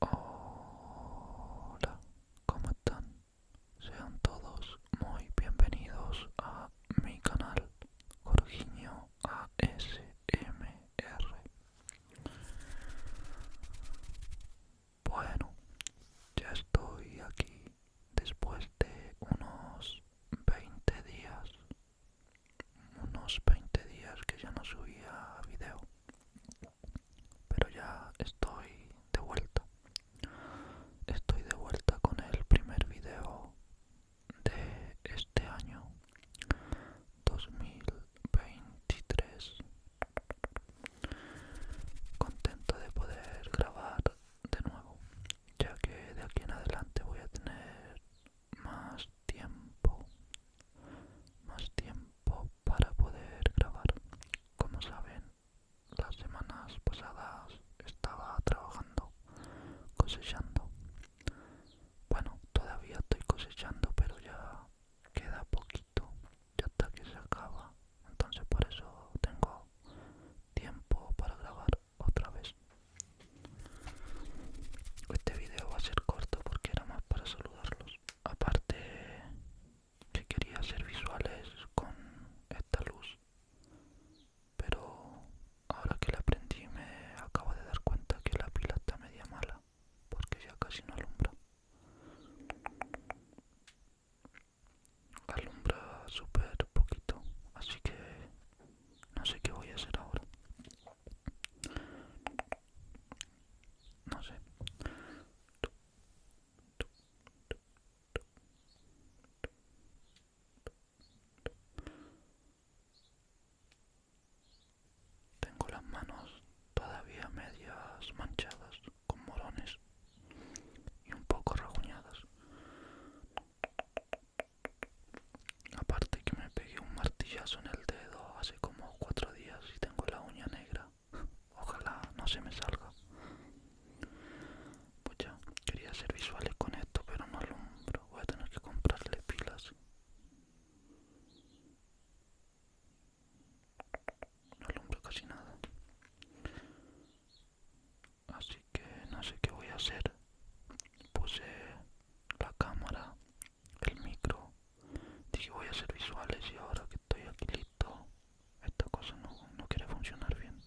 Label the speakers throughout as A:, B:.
A: Hola, ¿cómo están? Sean todos muy bienvenidos a mi canal Jorginho ASMR. Bueno, ya estoy aquí después de unos 20 días unos 20 días que ya no subía video pero ya estoy de vuelta estoy de vuelta con el primer video de este año 2023 contento de poder grabar de nuevo ya que de aquí en adelante voy a tener más tiempo más tiempo para poder grabar como saben las semanas pasadas estaba trabajando cosechando bueno todavía estoy cosechando pero ya queda poquito ya hasta que se acaba entonces por eso tengo tiempo para grabar otra vez este video va a ser corto porque era más para saludarlos. Aparte, que quería hacer visuales con esta luz, pero ahora que la aprendí me acabo de dar cuenta que la pila está media mala porque ya casi no alumbra. Alumbra súper poquito, así que no sé qué voy a hacer ahora. No sé. Tengo las manos todavía medias manchadas con morones y un poco raguñadas. Aparte que me pegué un martillazo en el dedo hace como cuatro días y tengo la uña negra. Ojalá no se me salga. Pues quería hacer visuales con esto, pero no alumbro. Voy a tener que comprarle pilas. No alumbro casi nada así que no sé qué voy a hacer puse la cámara el micro dije voy a hacer visuales y ahora que estoy aquí listo esta cosa no, quiere funcionar bien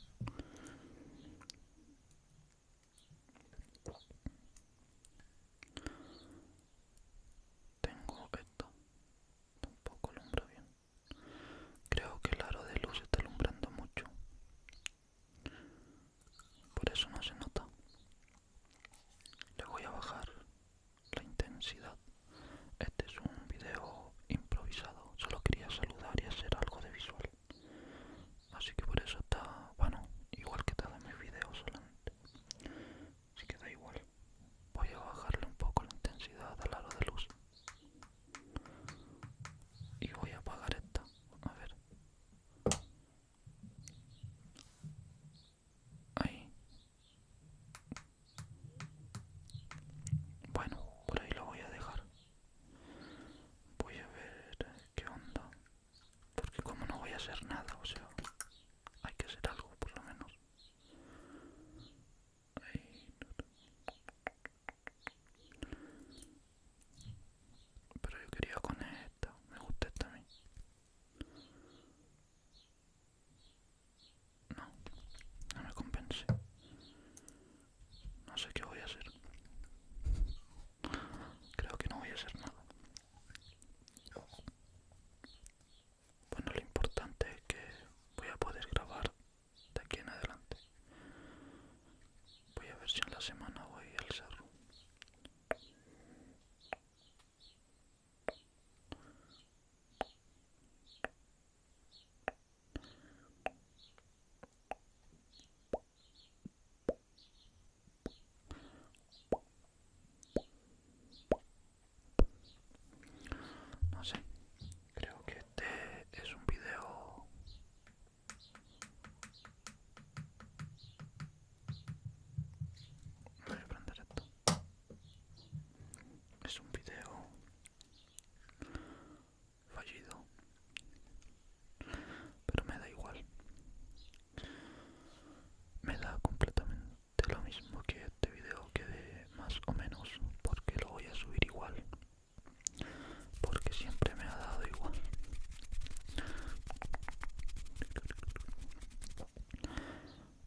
A: tengo esto tampoco alumbra bien creo que el aro de luz está alumbrando mucho por eso no se nota le voy a bajar la intensidad este es un video improvisado solo quería saludar y hacer algo de visual así que por eso está bueno igual que está de mis videos solamente así que da igual voy a bajarle un poco la intensidad al aro de luz y voy a apagar esta a ver ahí bueno por ahí lo voy a dejar voy a ver qué onda porque como no voy a hacer nada o sea hay que hacer algo por lo menos ahí. Pero yo quería con esta, me gusta esta a mí. No, no me convence No sé qué voy a hacer. Creo que no voy a hacer nada. Bueno, lo importante es que voy a poder grabar de aquí en adelante. Voy a ver si en la semana voy al cerro. No sé, Creo que este es un video voy a esto es un video fallido pero me da igual me da completamente lo mismo que este video quede más o menos porque lo voy a subir igual porque siempre me ha dado igual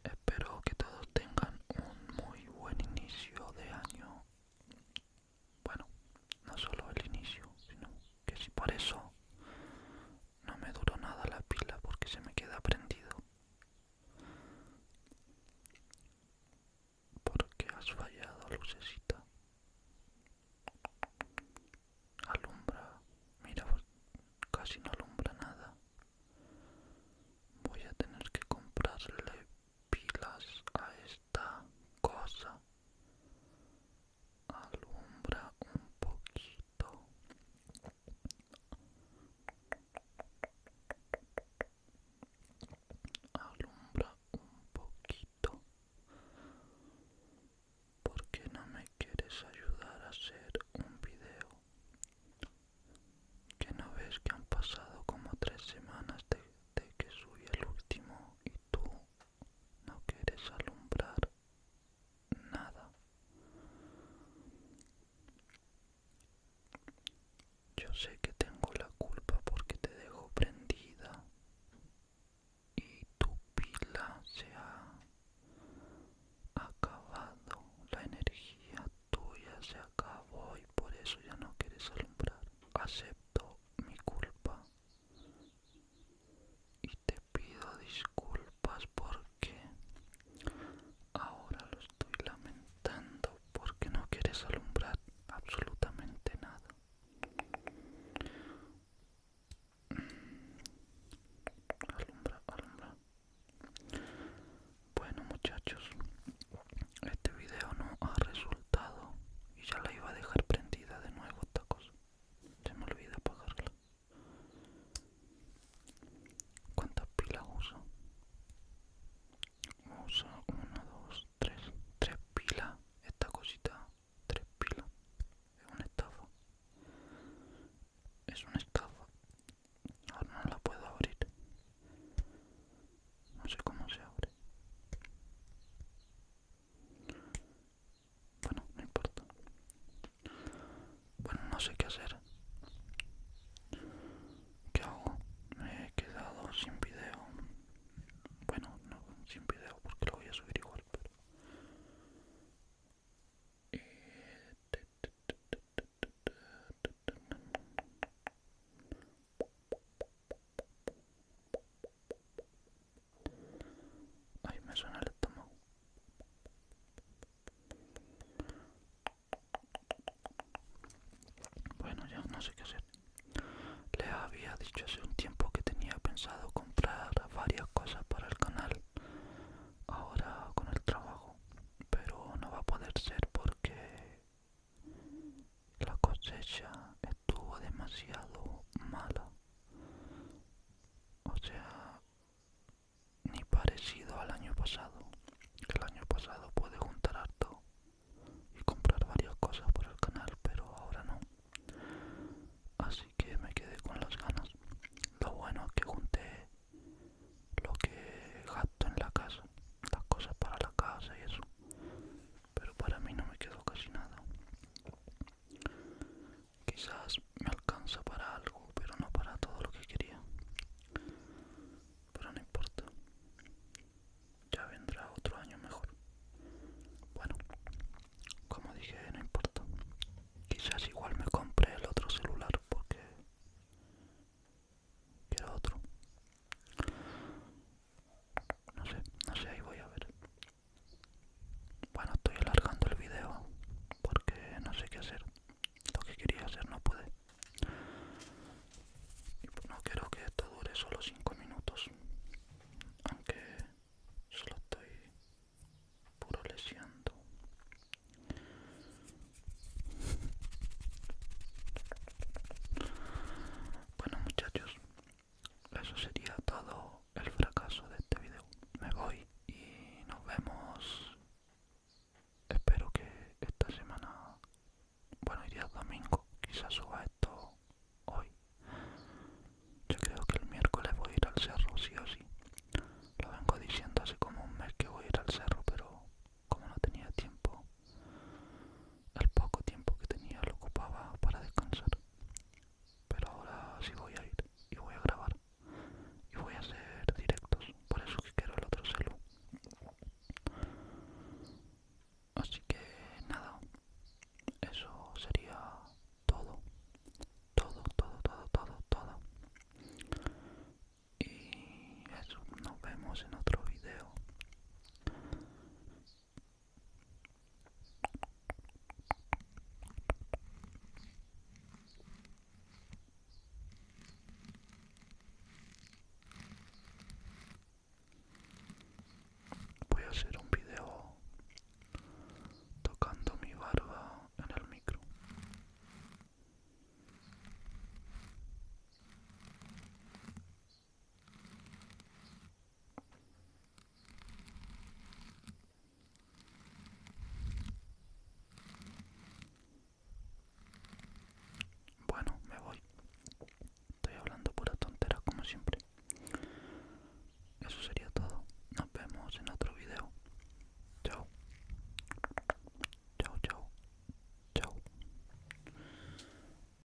A: espero que todos tengan un muy buen inicio de año bueno no solo el inicio sino que si por eso no me duró nada la pila porque se me queda prendido porque has fallado, lucecita. Alumbra, mira, pues, casi no alumbra nada. Voy a tener que comprarle pilas a esta cosa. Alumbra un poquito alumbra un poquito porque no me quieres ayudar a hacer un video que no ves que han pasado como tres semanas de, que subí el último y tú no quieres alumbrar nada yo sé que tengo la culpa porque te dejo prendida y tu pila se ha acabado, la energía tuya se acabó y por eso ya no quieres alumbrar. Acepto mi culpa y te pido disculpas porque ahora lo estoy lamentando porque no quieres alumbrar absolutamente nada. Mm. Alumbra, alumbra. Bueno muchachos, este video no ha resultado y ya la iba a dejar prendida de nuevo esta cosa. Se me olvida apagarla. ¿Cuántas pilas uso? Uso 1, 2, 3, 3 pilas. Esta cosita, 3 pilas. Es una estafa. Es una estafa. Ahora no la puedo abrir. No sé cómo se abre. Bueno, no importa. Bueno, no sé qué hacer. ¿Qué hago? Me he quedado sin video. Bueno, no sin video porque lo voy a subir igual, pero... Ay, me suena el estómago. Bueno, ya no sé qué hacer. Le había dicho hace un tiempo que tenía pensado comprar varias cosas para el canal, ahora con el trabajo, pero no va a poder ser porque la cosecha estuvo demasiado mala. O sea, ni parecido al año pasado. el año pasado pude juntar harto y comprar varias cosas por el canal, pero ahora no. Así que me quedé con las ganas. Lo bueno es que junté lo que gasto en la casa, las cosas para la casa y eso. Pero para mí no me quedó casi nada. Quizás me alcanza para algo, pero no para todo lo que quería. Pero no importa. Ya vendrá otro año mejor. Bueno, como dije, no importa. Quizás igual me compre el otro celular porque quiero otro. No sé, no sé, ahí voy a ver. Bueno, estoy alargando el video porque no sé qué hacer. Lo que quería hacer no pude. Pues no quiero que esto dure solo 5 minutos. Aunque solo estoy puro Bueno muchachos, eso sería todo el fracaso de este video. Me voy y nos vemos. Espero que esta semana, bueno, iría domingo, quizás suba esto hoy. Yo creo que el miércoles voy a ir al cerro, sí o sí. Lo vengo diciendo hace como un mes que voy a ir al cerro, pero como no tenía tiempo, el poco tiempo que tenía lo ocupaba para descansar pero ahora sí voy a ir y voy a grabar y voy a hacer directos por eso que quiero el otro celu así que nada eso sería todo todo todo todo todo todo y eso nos vemos en otro video Voy a hacer un video tocando mi barba en el micro. Bueno, me voy. Estoy hablando pura tontera como siempre. Eso sería todo. Nos vemos en otro video. Chao. Chao, chao. Chao.